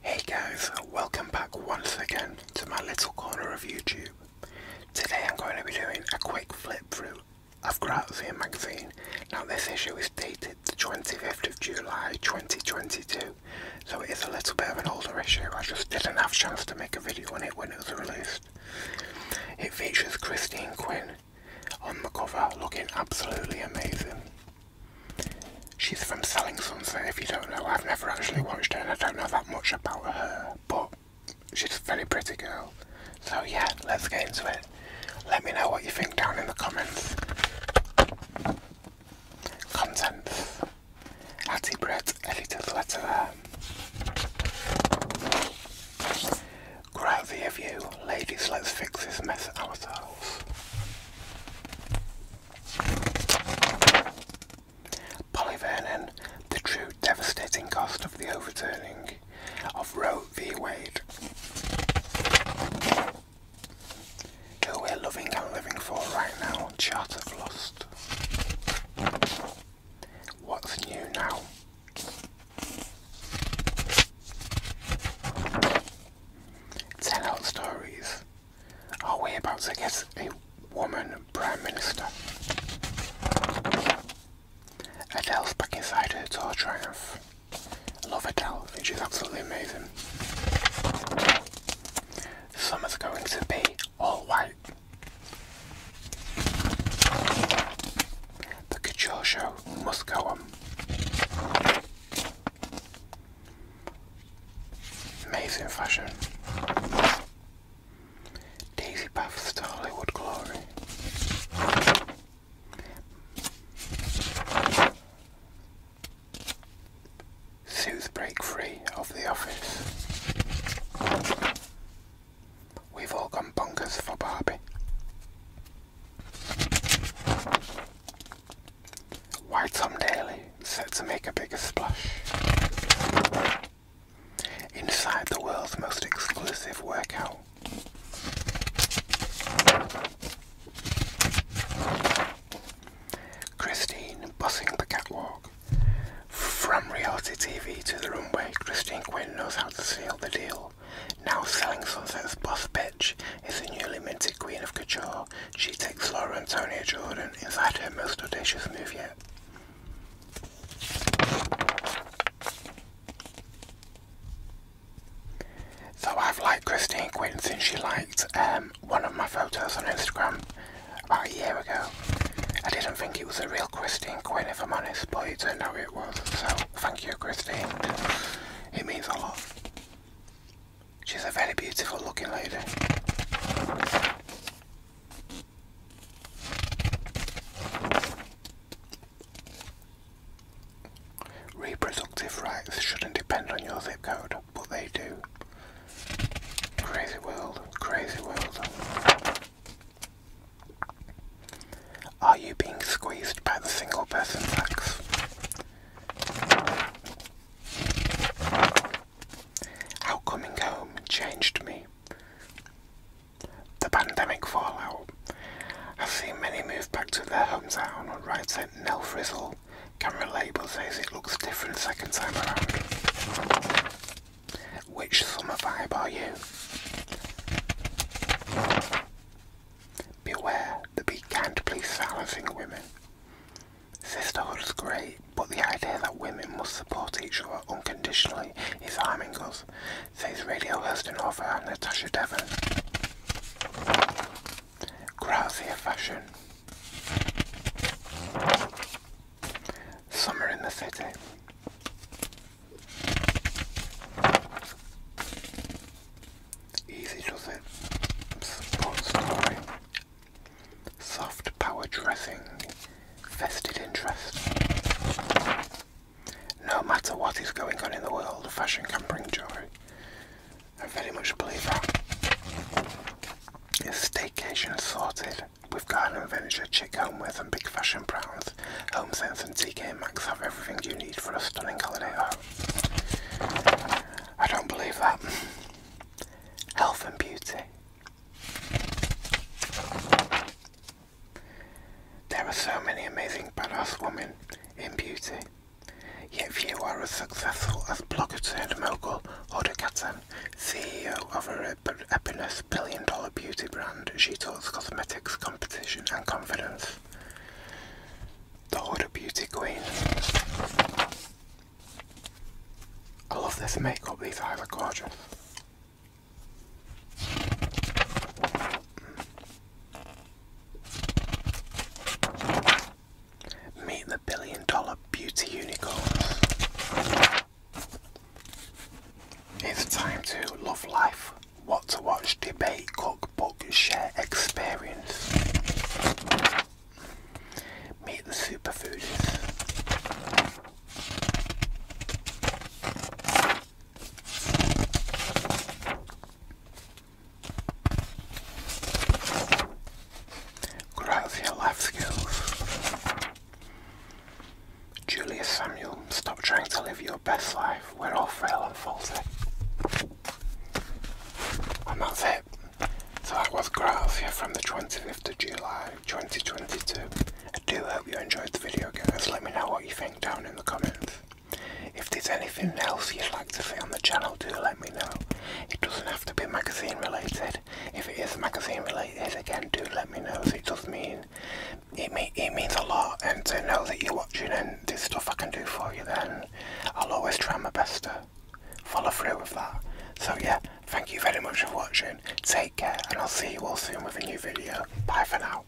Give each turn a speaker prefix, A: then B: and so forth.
A: Hey guys, welcome back once again to my little corner of YouTube. Today I'm going to be doing a quick flip through of Grazia magazine. Now this issue is dated the 25th of July 2022, so it is a little bit of an older issue. I just didn't have a chance to make a video on it when it was released. It features Christine Quinn on the cover looking absolutely amazing. She's from Selling Sunset, if you don't know. I've never actually watched her and I don't know that much about her, but she's a very pretty girl. So yeah, let's get into it. Let me know what you think down in the comments. Contents. Hattie Brett a little letter there. of you, ladies, let's fix this mess ourselves. Polly Vernon, the true devastating cost of the overturning of Roe v. Wade. Who we're loving and living for right now, Chart of Lust. What's new now? Tell out stories. Are we about to get a woman prime minister? Adele's back inside her tour triumph. Love Adele, I she's absolutely amazing. Summer's going to be all white. The Couture Show must go on. Amazing fashion. Daisy Baths to Hollywood Glory. Sooth break free of the office. We've all gone bonkers for Barbie. White Tom Daly set to make a bigger splash. Inside the world's most exclusive workout. Christine bussing the catwalk. From reality TV to the runway, Christine Quinn knows how to seal the deal. Now selling Sunset's boss bitch is the newly minted queen of couture. She takes Laura Antonia Jordan inside her most audacious move yet. So I've liked Christine Quinn since she liked um, one of my photos on Instagram about oh, a year ago. I didn't think it was a real Christine Quinn, if I'm honest, but don't know who it was. So thank you, Christine. It means a lot. She's a very beautiful looking lady. Reproductive rights shouldn't depend on your zip code, but they do. Crazy world, crazy world. Are you being squeezed by the single person tax? How coming home changed me. The pandemic fallout. I've seen many move back to their hometown or write at Nell Frizzle Camera label says it looks different second time around. Which summer vibe are you? Beware the be kind women. Sisterhood's great, but the idea that women must support each other unconditionally is harming us, says radio host and Natasha Devon. Grazia fashion. Summer in the City. Easy does it. Soft power dressing. Vested interest. No matter what is going on in the world, fashion can bring joy. I very much believe that. It's staycation assorted. We've got an adventure chic homewares and big fashion brands. HomeSense and TK Maxx have everything you need for a stunning holiday I don't believe that. Health and beauty. There are so many amazing badass women in beauty if you are as successful as blogger and mogul Hoda Katan, CEO of a Epinus billion dollar beauty brand. She talks cosmetics, competition, and confidence. The Hoda Beauty Queen. I love this makeup, these eyes are gorgeous. Meet the billion dollar beauty unicorns. It's time to love life, what to watch, debate, cook, book, share, experience. Meet the superfoodies. Grows your life skills. Julius Samuel, stop trying to live your best life. We're all frail and faulty. And that's it. So that was Grazia from the 25th of July 2022. I do hope you enjoyed the video guys. Let me know what you think down in the comments. If there's anything else you'd like to see on the channel, do let me know. It doesn't have to be magazine related. If it is magazine related, again, do let me know. It does mean it, mean, it means a lot, and to know that you're watching and this stuff I can do for you, then I'll always try my best to follow through with that. So yeah, thank you very much for watching. Take care, and I'll see you all soon with a new video. Bye for now.